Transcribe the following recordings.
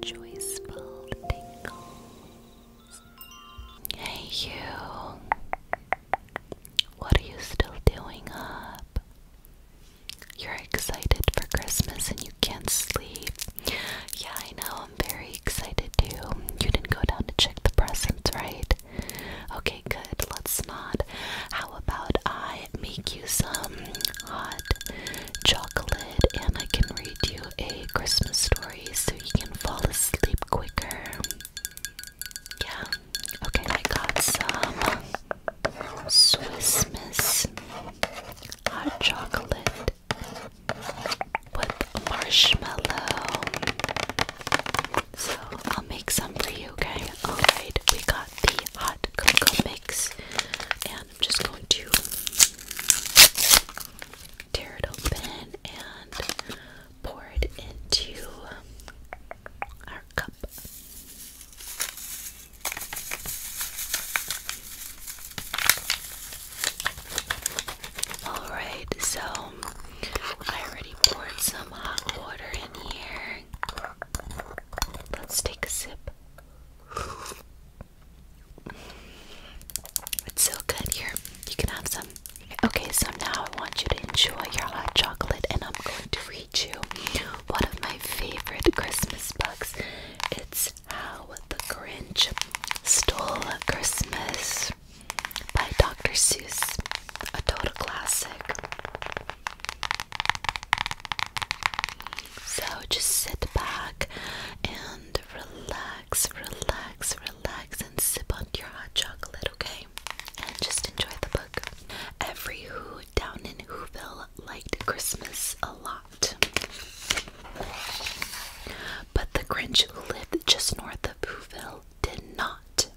joyful tingles. Hey, you. What are you still doing up? You're excited for Christmas and you can't sleep. Yeah, I know. I'm very excited too. You didn't go down to check the presents, right? Okay, good. Let's not. How about I make you some hot chocolate and I can read you a Christmas story so you can fall asleep quicker. Yeah. Okay, I got some Swiss Miss hot chocolate with marshmallow. So I'll make some for you, okay? Alright, we got the hot cocoa mix I'm just going to tear it open and pour it into our cup. Alright, so I already poured some hot water in here. Let's take a sip. It's so good here. You can have some. Okay, so now I want you to enjoy your hot chocolate, and I'm going to read you one of my favorite Christmas books. It's How the Grinch Stole Christmas by Dr. Seuss, a total classic. So just sit back and relax, relax, relax, and sip on your hot chocolate, okay? And just enjoy the book. Every Who down in Whoville liked Christmas a lot. But the Grinch who lived just north of Whoville did not.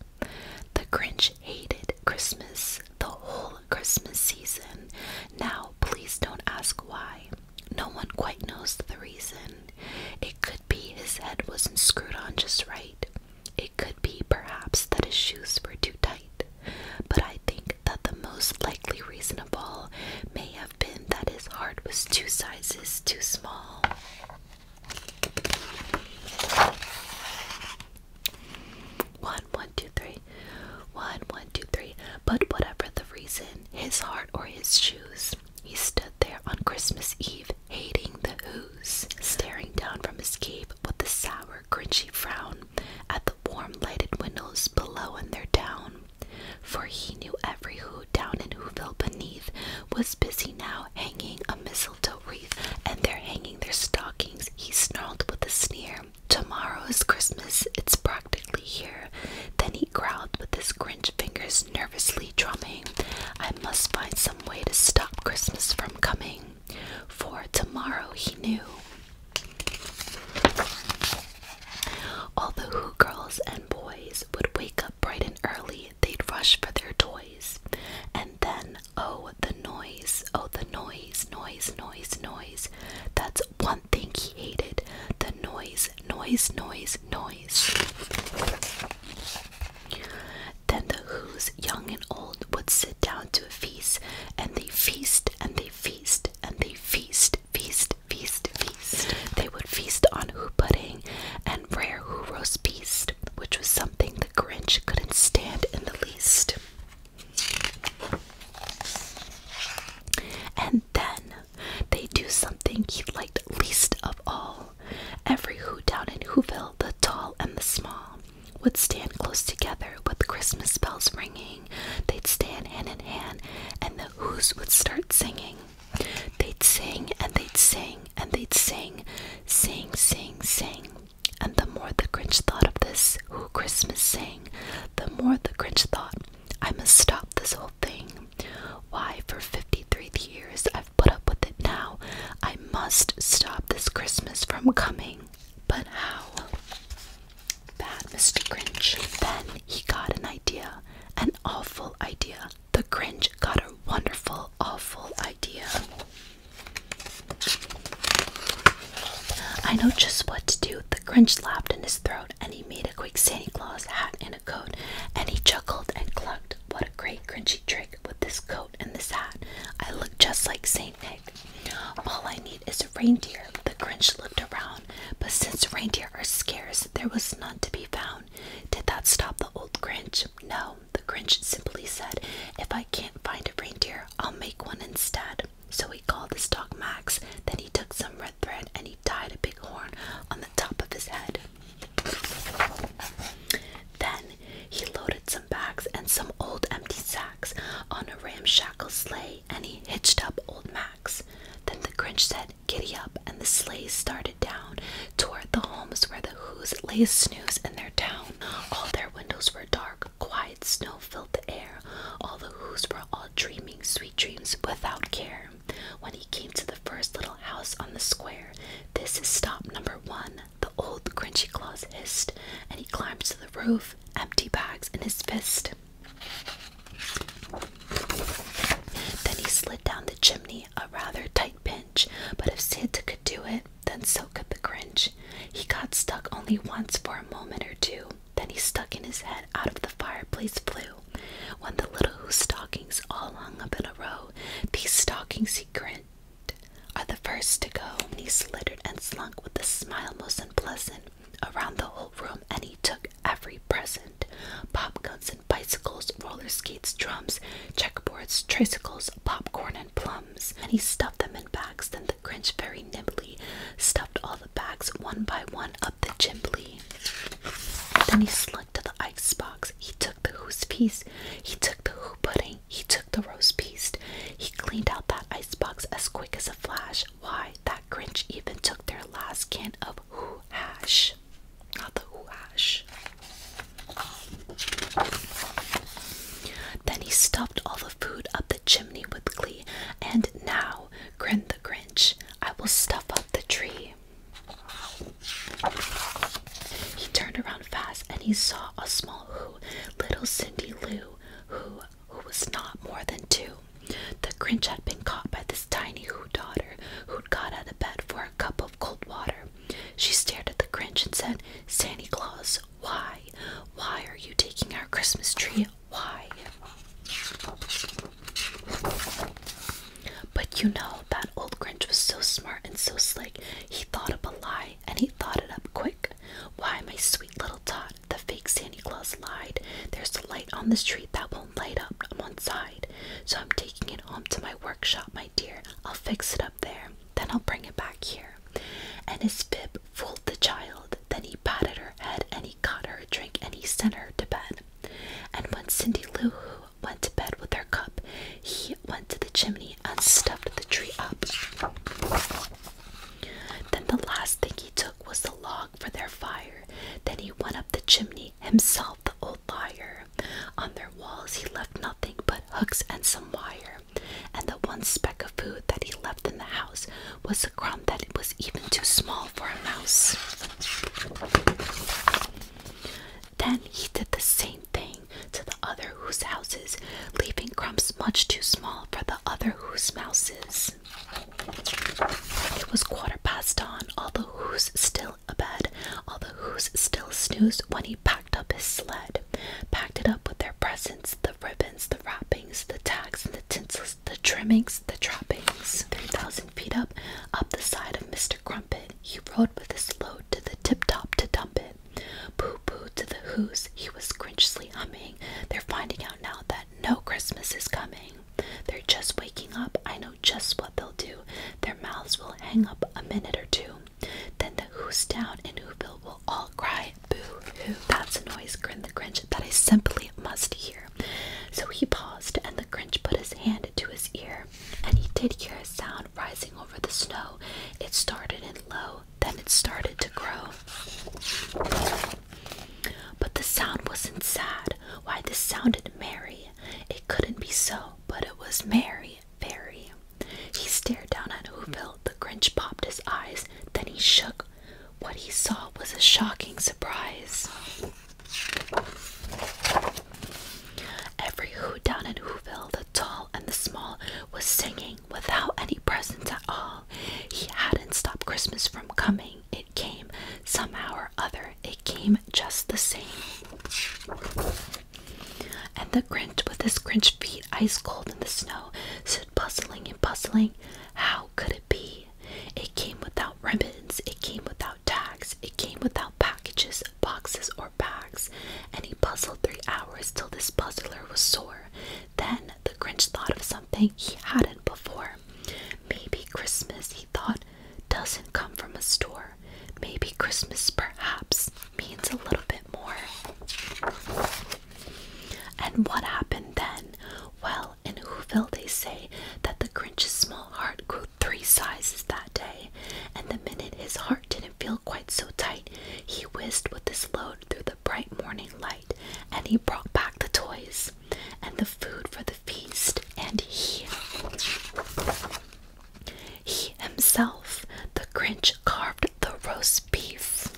The Grinch hated Christmas the whole Christmas season. Now, please don't ask why. No one quite knows the reason. It could be his head wasn't screwed on just right. It could be, perhaps, that his shoes were too tight. But I think that the most likely reason of all may have been that his heart was two sizes too small. One, one, two, three, one, one, two, three. But whatever the reason, his heart or his shoes, he stood there on Christmas Eve, hating the who's, staring down from his cave with a sour, grinchy frown at the warm lighted windows below in their town. For he knew every who down in Whoville beneath was busy now hanging a mistletoe wreath, and they're hanging their stockings, he snarled with a sneer. Tomorrow is Christmas, it's practically here. Then he growled with his grinch fingers nervously drumming. I must find some way to stop Christmas from coming. For tomorrow he knew. All the Who girls and boys would wake up bright and early, they'd rush for their toys. And then Oh, the noise. Oh, the noise, noise, noise, noise. That's one thing he hated. The noise, noise, noise, noise. Then the Who's, young and old, would sit down to a feast, and they feast, and they feast, and they feast, feast, feast, feast. They would feast on Who pudding and rare Who roast beast, which was something Grinch couldn't stand in the least. And then they do something he liked least of all. Every Who down in Whoville, the tall and the small, would stand close together with Christmas bells ringing. They'd stand hand in hand, and the Who's would start singing. They'd sing and they'd sing, and they'd sing, sing, sing, sing. And the more the Grinch thought of this, who Christmas sang, the more the Grinch thought, I must stop this whole thing. Why, for 53 years I've put up with it now. I must stop this Christmas from coming. But how? Bad Mr. Grinch. Then he got an idea, an awful idea the Grinch got a wonderful, awful idea. I know just what to do. The Grinch laughed in his throat and he made a quick Santa Claus hat and a coat. And he chuckled and clucked. What a great Grinchy trick with this coat and this hat. I look just like Saint Nick. All I need is a reindeer. The Grinch looked around, but since reindeer are scarce, there was none to be found. Did that stop the old Grinch? No, the Grinch simply said, If I can't find a reindeer, I'll make one instead. So he called his dog Max, then he took some red thread and he tied a big horn on the top of his head. Then he loaded some bags and some old empty sacks on a ramshackle sleigh and he hitched up old Max. Then the Grinch said, giddy up, and the sleigh started down toward the homes where the Hoos lay a snooze in their town. All their windows were dark, quiet snow filled the air. All the Hoos were all dreaming sweet dreams without care. When he came to the first little house on the square, this is stop number one, the old Crunchy Claus hissed, and he climbed to the roof, empty bags in his fist. Then he slid down the chimney, a rather tight pinch, but if Santa could do it, then so could the Grinch. He got stuck only once for a moment or two, then he stuck in his head out of the fireplace flew. When the little whose stockings all hung up in a row, these stockings he grinned are the first to go. And he slithered and slunk with a smile most unpleasant around the whole room, and he took every present pop guns and bicycles, roller skates, drums, checkboards, tricycles, popcorn, and plums. And he stuffed them in bags. Then the Grinch very nimbly stuffed all the bags one by one up the chimney. Then he slunk to the icebox. He took the who's piece. He took the who pudding. He took the roast piece. He cleaned out that icebox as quick as a flash why that Grinch even took their last can of who hash. Not the who Then he stuffed all the food up the chimney with glee. And now, grinned the Grinch, I will stuff up the tree. He turned around fast and he saw a small who, little Cindy Lou, who, who was not more than two, the Grinch had been caught by this tiny who daughter who'd got out of bed for a cup of cold water. She stared at the Grinch and said, Santa Claus, why? Why are you taking our Christmas tree? Why? But you know, that old Grinch was so smart and so slick. He thought up a lie and he thought it up quick. Why, my sweet little tot, the fake Santa Claus lied. There's a light on the street that won't light up on one side. So I'm taking it on to my workshop, my dear. I'll fix it up there. Then I'll bring it back here. And his fib fooled the child. Then he patted her head and he got her a drink and he sent her to bed. And when Cindy Lou Who went to bed with her cup, he went to the chimney and stuffed the tree up. Then the last thing he took was the log for their fire. Then he went up the chimney, himself the old liar. On their walls he left nothing but hooks and some wire. And the one speck of food that he left in the house was a crumb that was even too small for a mouse. Then he did the same thing to the other whose houses, leaving crumbs much too small for the other whose mice. It was quarter past dawn, Although the who's still abed, all the who's still snoozed when he packed up his sled. Packed it up with their presents, the ribbons, the wrappings, the tags, and the tinsels, the trimmings, the trappings. Three thousand feet up, up the side of Mr. Crumpet, he rode with his load to the tip top to dump it. Pooh pooh to the who's, he was grinchly humming. They're finding out now that no Christmas is coming. They're just waking up. I know just what they'll do. Their mouths will hang up a minute or two. Then the Who's Down and Whoville will all cry boo hoo. That's a noise, grinned the Grinch, that I simply must hear. So he paused, and the Grinch put his hand to his ear, and he did hear a sound rising over the snow. It started in low then it started to grow. But the sound wasn't sad. Why, this sounded merry. It couldn't be so, but it was merry, very. He stared down at Whoville. The Grinch popped his eyes. Then he shook. What he saw was a shocking surprise. Every who down in Whoville, the tall and the small, was singing without any presents at all. He hadn't stopped Christmas from coming. It came somehow or other. It came just the same. And the Grinch, with his Grinch feet ice cold in the snow, stood puzzling and puzzling. How could it be? It came without ribbons, it came without tags, it came without packages, boxes, or bags. And he puzzled three hours till this puzzler was sore. Then the Grinch thought of something he hadn't before. Maybe Christmas, he thought, doesn't come from a store. Maybe Christmas perhaps means a little bit more. And what happened then? Well, in Whoville, they say that the Grinch's small heart grew three sizes that day, and the minute his heart didn't feel quite so tight, he whizzed with his load through the bright morning light, and he brought back the toys and the food for the feast, and he he himself, the Grinch, carved the roast beef.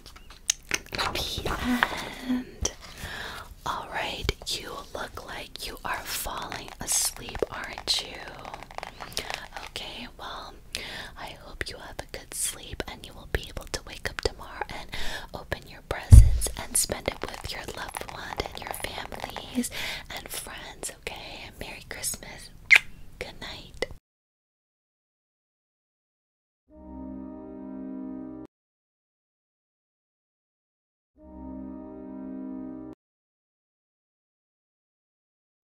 And All right, you look like you are falling asleep, aren't you? Okay, well, I hope you have good sleep and you will be able to wake up tomorrow and open your presents and spend it with your loved one and your families and friends, okay? And Merry Christmas. Good night.